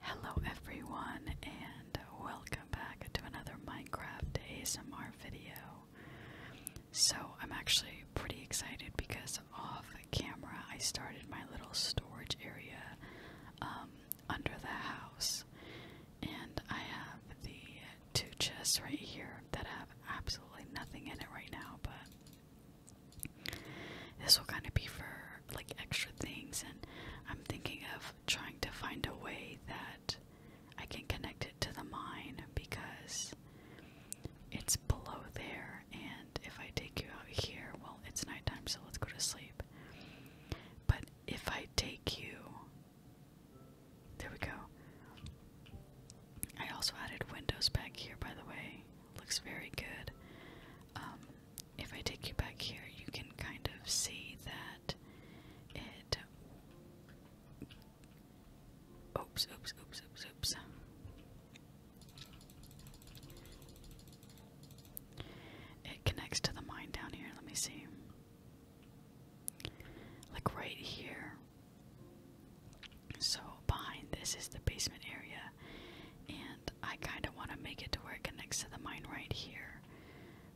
Hello everyone and welcome back to another Minecraft ASMR video. So I'm actually pretty excited because off camera I started my little storage area um, under the house and I have the two chests right here that have absolutely nothing in it right now but this will kind of be for like extra things, and I'm thinking of trying to find a way that I can connect it to the mind because it's below there. And if I take you out here, well, it's nighttime, so let's go to sleep. But if I take you, there we go. I also added windows back here, by the way. Looks very good. Um, if I take you back here, you can kind of see that it. Oops, oops, oops, oops, oops. It connects to the mine down here. Let me see. Like right here. So behind this is the basement area, I kind of want to make it to where it connects to the mine right here,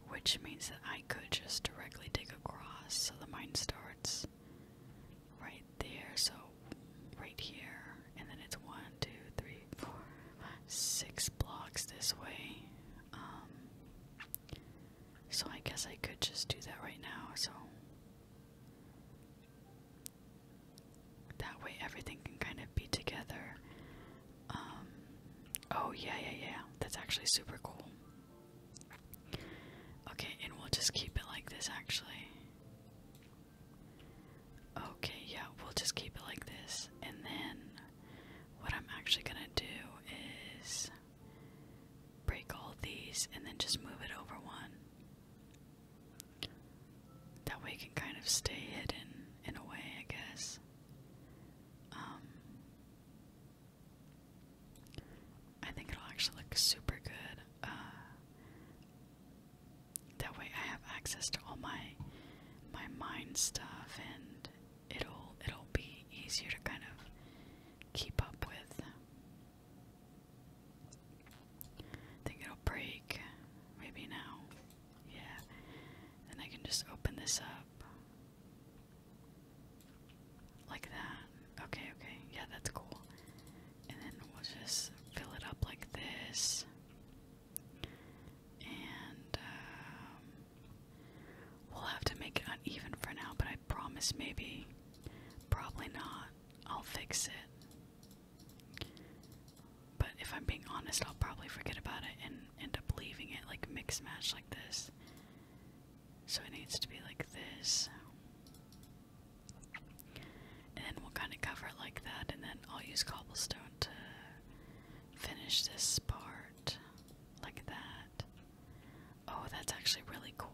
which means that I could just directly dig across so the mine starts right there, so right here, and then it's one, two, three, four, six blocks this way. Um, so I guess I could just do that right now, so that way everything can kind of be together. Um, oh, yeah, yeah, yeah. That's actually super cool. Okay, and we'll just keep it like this actually. Okay, yeah, we'll just keep it like this. And then what I'm actually gonna do is break all these and then just move it over one. That way, it can kind of stay hidden in a way, I guess. Um, I think it'll actually look super good. Uh, that way, I have access to all my my mind stuff, and it'll it'll be easier to kind of keep up with. I think it'll break. Maybe now. Yeah. Then I can just open this up. Like that. Okay, okay. Yeah, that's cool. And then we'll just fill it up like this. And um, we'll have to make it uneven for now, but I promise maybe. Probably not. I'll fix it. But if I'm being honest, I'll probably forget about it and end up leaving it like mix match like this. So it needs to be like this. And then we'll kind of cover it like that, and then I'll use cobblestone to finish this part like that. Oh, that's actually really cool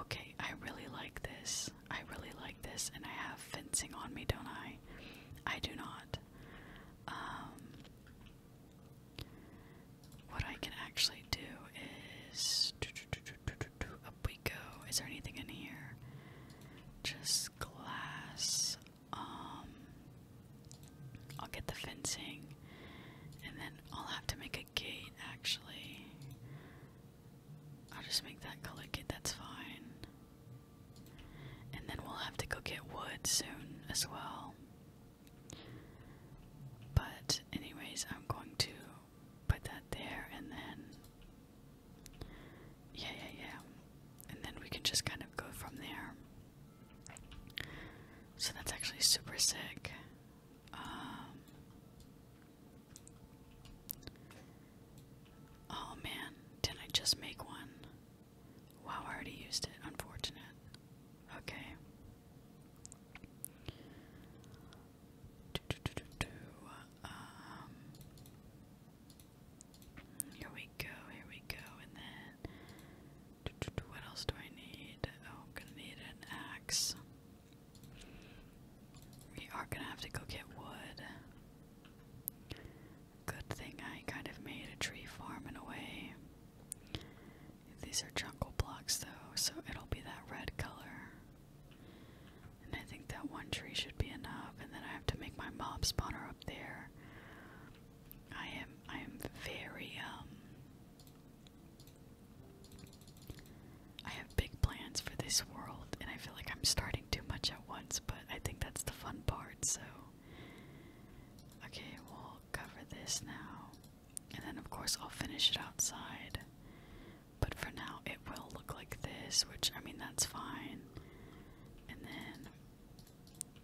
okay, I really like this. I really like this, and I have fencing on me, don't I? I do not. Um, what I can actually do is. Up we go. Is there anything in here? Just glass. Um, I'll get the fencing, and then I'll have to make a gate actually. I'll just make that click it. that's fine. And then we'll have to go get wood soon as well. But, anyways, I'm going to put that there and then. Yeah, yeah, yeah. And then we can just kind of go from there. So that's actually super sick. Um, Oh man, did I just make one? Wow, I already used it. Unfortunate. Okay. Um, here we go, here we go, and then. What else do I need? Oh, I'm gonna need an axe. We are gonna have to go get wood. Good thing I kind of made a tree farm in a way. These are jungle blocks though, so it'll be that red color. And I think that one tree should be enough, and then I have to make my mob spawner up there. I am I am very um I have big plans for this world, and I feel like I'm starting too much at once, but I think that's the fun part, so. Okay, we'll cover this now. And then, of course, I'll finish it outside. But for now, it will look like this, which, I mean, that's fine. And then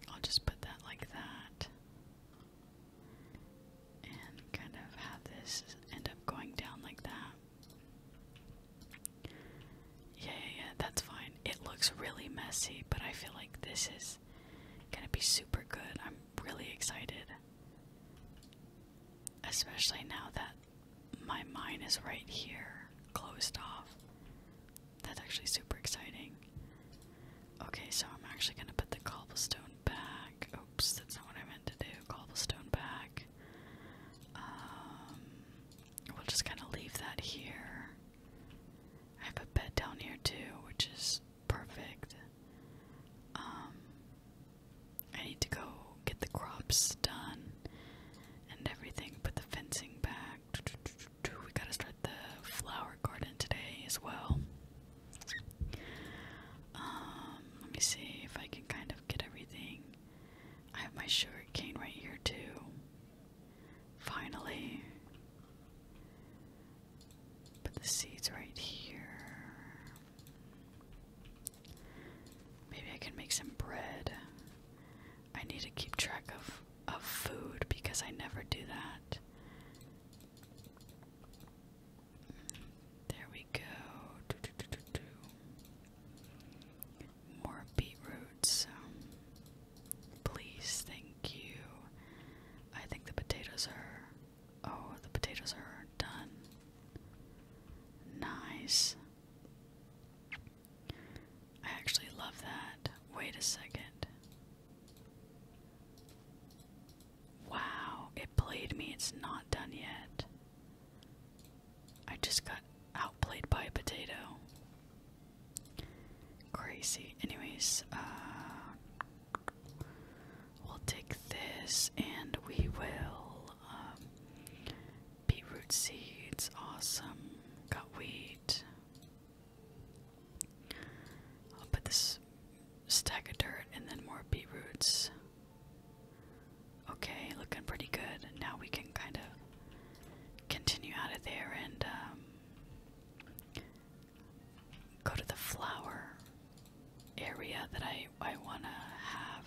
I'll just put that like that and kind of have this end up going down like that. Yeah, yeah, yeah, that's fine. It looks really messy, but I feel like this is gonna be super good. I'm really excited. Especially now that my mine is right here, closed off. That's actually super exciting. Okay, so I'm actually gonna put the cobblestone back. Oops, that's not what I meant to do. Cobblestone back. Um, we'll just kind of leave that here. I have a bed down here too, which is perfect. Um, I need to go get the crops done and everything. Put the fencing back. We gotta start the flower garden today as well. Um, let me see if I can kind of get everything. I have my sugar cane right here too. Finally. Put the seeds right here. Maybe I can make some bread. I need to keep track of of food because I never do that. There we go. Do, do, do, Please, thank you. I think the potatoes are. Oh, the potatoes are done. Nice. I actually love that. Wait a second. Wow, it played me. It's not done yet. I just got outplayed by a potato. Crazy. Anyways, uh, we'll take this and we will. Um, beetroot seeds. Awesome. Got wheat. I'll put this stack of dirt, and then more beet roots. Okay, looking pretty good. Now we can kind of continue out of there and um, go to the flower area that I, I want to have.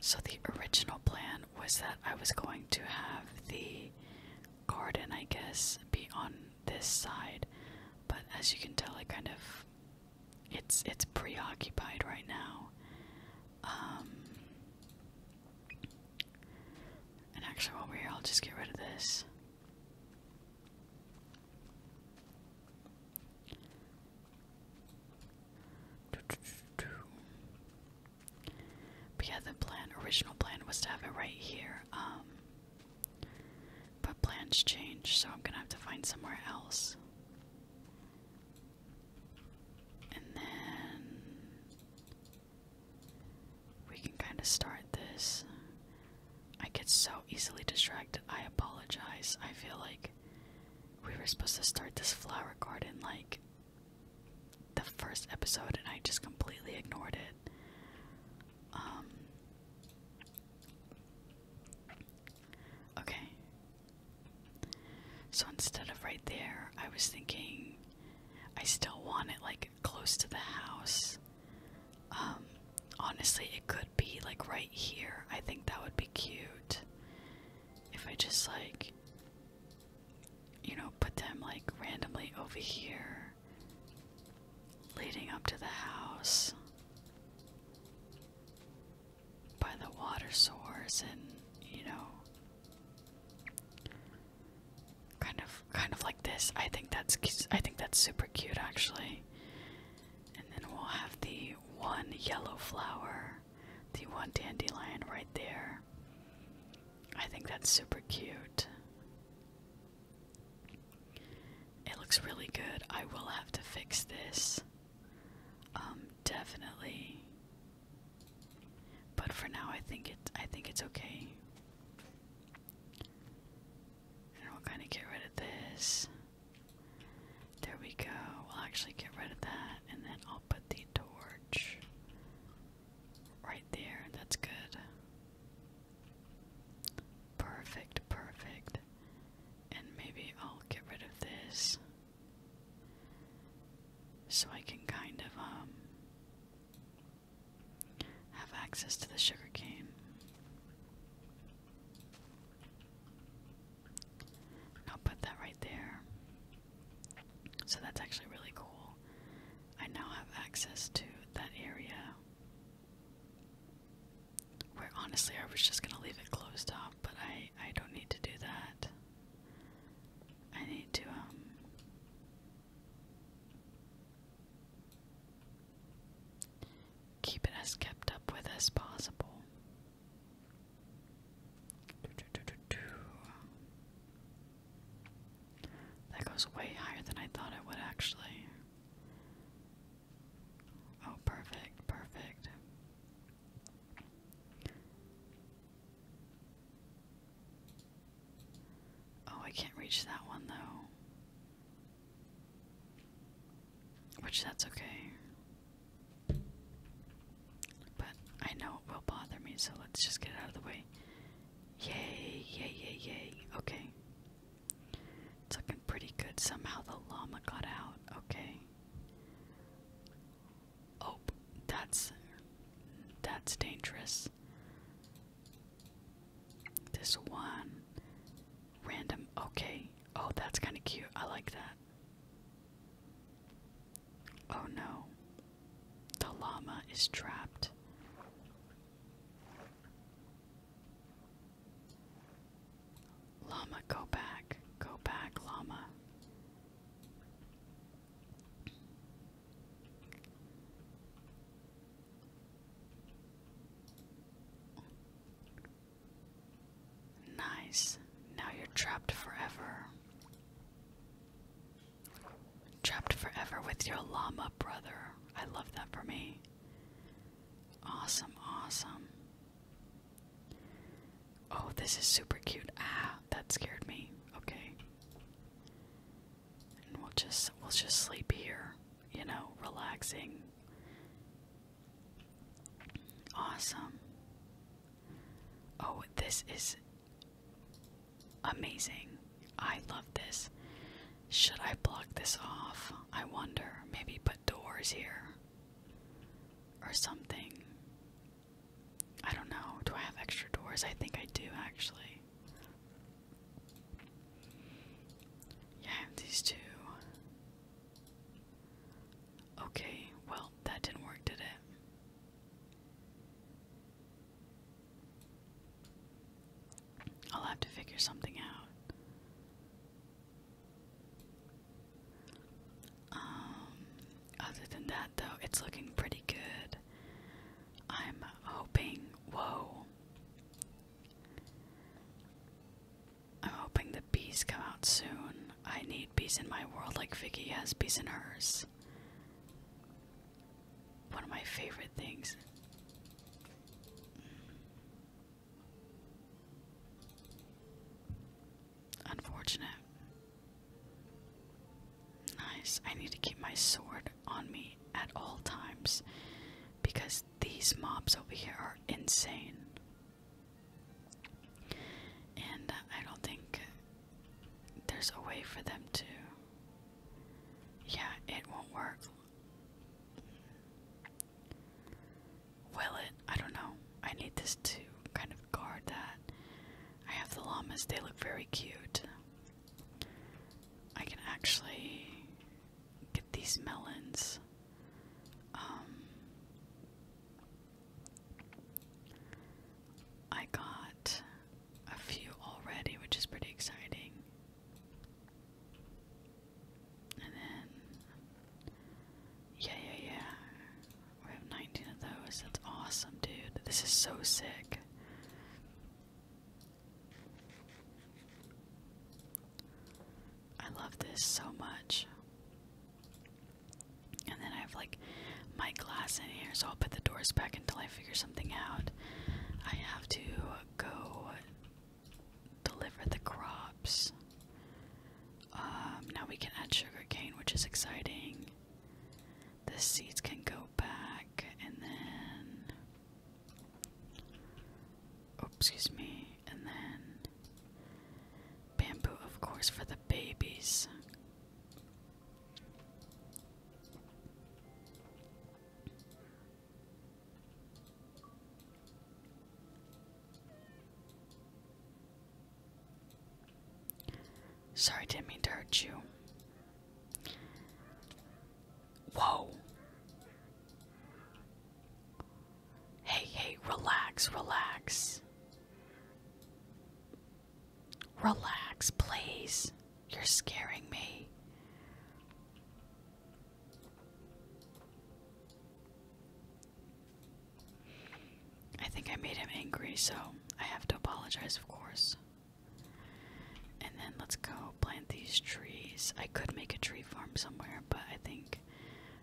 So the original plan was that I was going to have the garden, I guess, be on this side, but as you can tell, I kind of it's it's preoccupied right now. Um, and actually, while we're here, I'll just get rid of this. But yeah, the plan, original plan was to have it right here. Um, but plans change, so I'm gonna have to find somewhere else. And then we can kind of start this. I get so easily distracted. I apologize. I feel like we were supposed to start this flower garden like the first episode, and I just completely ignored it. Um, okay. So instead of right there, I was thinking I still want it like close to the house. Um, honestly, it could be like right here. I think that would be cute. If I just like, you know, put them like randomly over here leading up to the house by the water source and you know kind of kind of like this i think that's i think that's super cute actually and then we'll have the one yellow flower the one dandelion right there i think that's super cute it looks really good. I will have to fix this. Um, definitely. But for now, I think it. I think it's okay. And we'll kind of get rid of this. There we go. We'll actually get rid of that, and then I'll put the torch Right there, that's good. Perfect, perfect. And maybe I'll get rid of this so I can kind of um have access to the sugar cane. I'll put that right there. So that's actually really cool. I now have access to that area. Where honestly I was just gonna leave it closed off, but I I don't need to do that. I need to um keep it as kept up with as possible. That goes way higher than I thought it would actually. Oh, perfect, perfect. Oh, I can't reach that one though. Which that's okay. But I know it will bother me, so let's just get out of the way. Yay, yay, yay, yay. Okay. It's looking pretty good. Somehow the llama got out. Okay. Oh, that's that's dangerous. This one random. Okay. Oh, that's kind of cute. I like that. Oh no. The llama is trapped. Llama, go back. Go back, llama. Nice. Now you're trapped forever. Trapped forever with your llama brother. I love that for me. Awesome, awesome. Oh, this is super cute. Ah, that scared me. Okay. we'll just we'll just sleep here, you know, relaxing. Awesome. Oh, this is Amazing. I love this. Should I block this off? I wonder. Maybe put doors here or something. I don't know. Do I have extra doors? I think I do actually. Yeah, I have these two. Okay, well, that didn't work, did it? I'll have to figure something out. Um, other than that, though, it's looking pretty good. I'm hoping, whoa. I'm hoping the bees come out soon. I need bees in my world like Vicky has bees in hers one of my favorite things. Unfortunate. Nice. I need to keep my sword on me at all times because these mobs over here are insane. And uh, I don't think there's a way for them to. Yeah, it won't work. Will it? I don't know. I need this to kind of guard that. I have the llamas, they look very cute. I can actually get these melons. Um, I got a few already, which is pretty exciting. And then, yeah, yeah, yeah. We have 19 of those. That's awesome, dude. This is so sick. I love this so much. And then I have like my glass in here, so I'll put the doors back until I figure something out. I have to go deliver the crops. Um, now we can add sugarcane, which is exciting. The seeds can go back, and then. Oh, excuse me. And then. Bamboo, of course, for the babies. Sorry, didn't mean to hurt you. Whoa. Hey, hey, relax, relax. Relax, please. You're scaring me. I think I made him angry, so I have to apologize, of course. And then let's go plant these trees. I could make a tree farm somewhere, but I think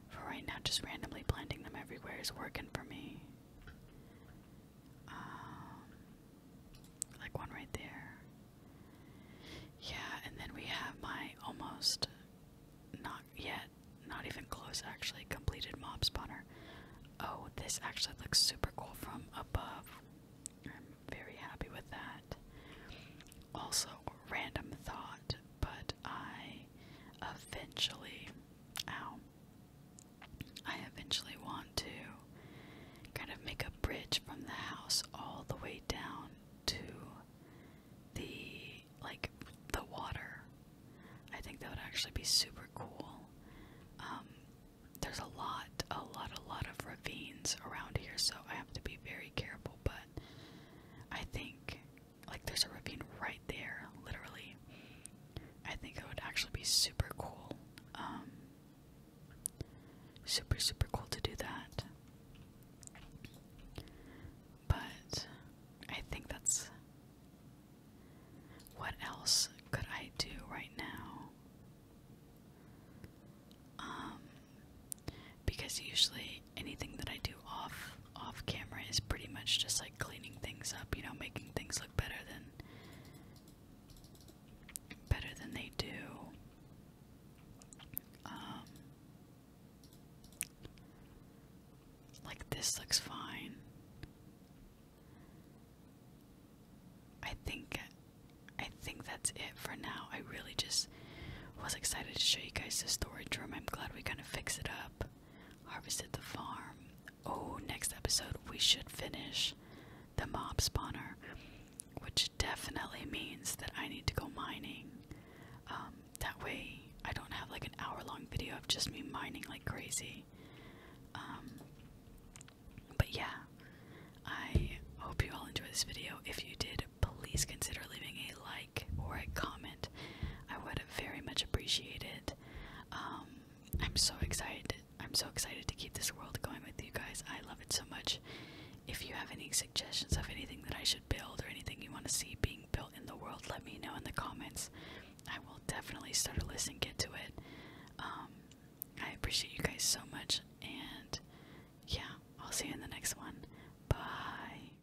for right now, just randomly planting them everywhere is working for me. Um, like one right there. Yeah, and then we have my almost not yet, not even close actually, completed mob spawner. Oh, this actually looks super cool from above. I'm very happy with that. Also, random thought, but I eventually, ow, I eventually want to kind of make a bridge from the house all the way down to the like the water. I think that would actually be super cool. Um, there's a lot, a lot, a lot of ravines around here, so I have to be very careful. But I think like, there's a ravine right there, literally. I think it would actually be super cool. Um, super, super cool to do that. But I think that's. What else could I do right now? Um, because usually anything that I do off off camera is pretty much just like cleaning things up, you know, making things look better than better than they do. Um, like this looks fine. I think I think that's it for now. I really just was excited to show you guys the storage room. I'm glad we kind of fixed it up harvested the farm. Oh, next episode we should finish the mob spawner, which definitely means that I need to go mining. Um, that way I don't have like an hour long video of just me mining like crazy. Um, but yeah, I hope you all enjoyed this video. If you did, please consider leaving a like or a comment. I would very much appreciate it. Um, I'm so excited. I'm so excited to keep this world going with you guys. I love it so much. If you have any suggestions of anything that I should build or anything you want to see being built in the world, let me know in the comments. I will definitely start a list and get to it. Um, I appreciate you guys so much, and yeah, I'll see you in the next one. Bye.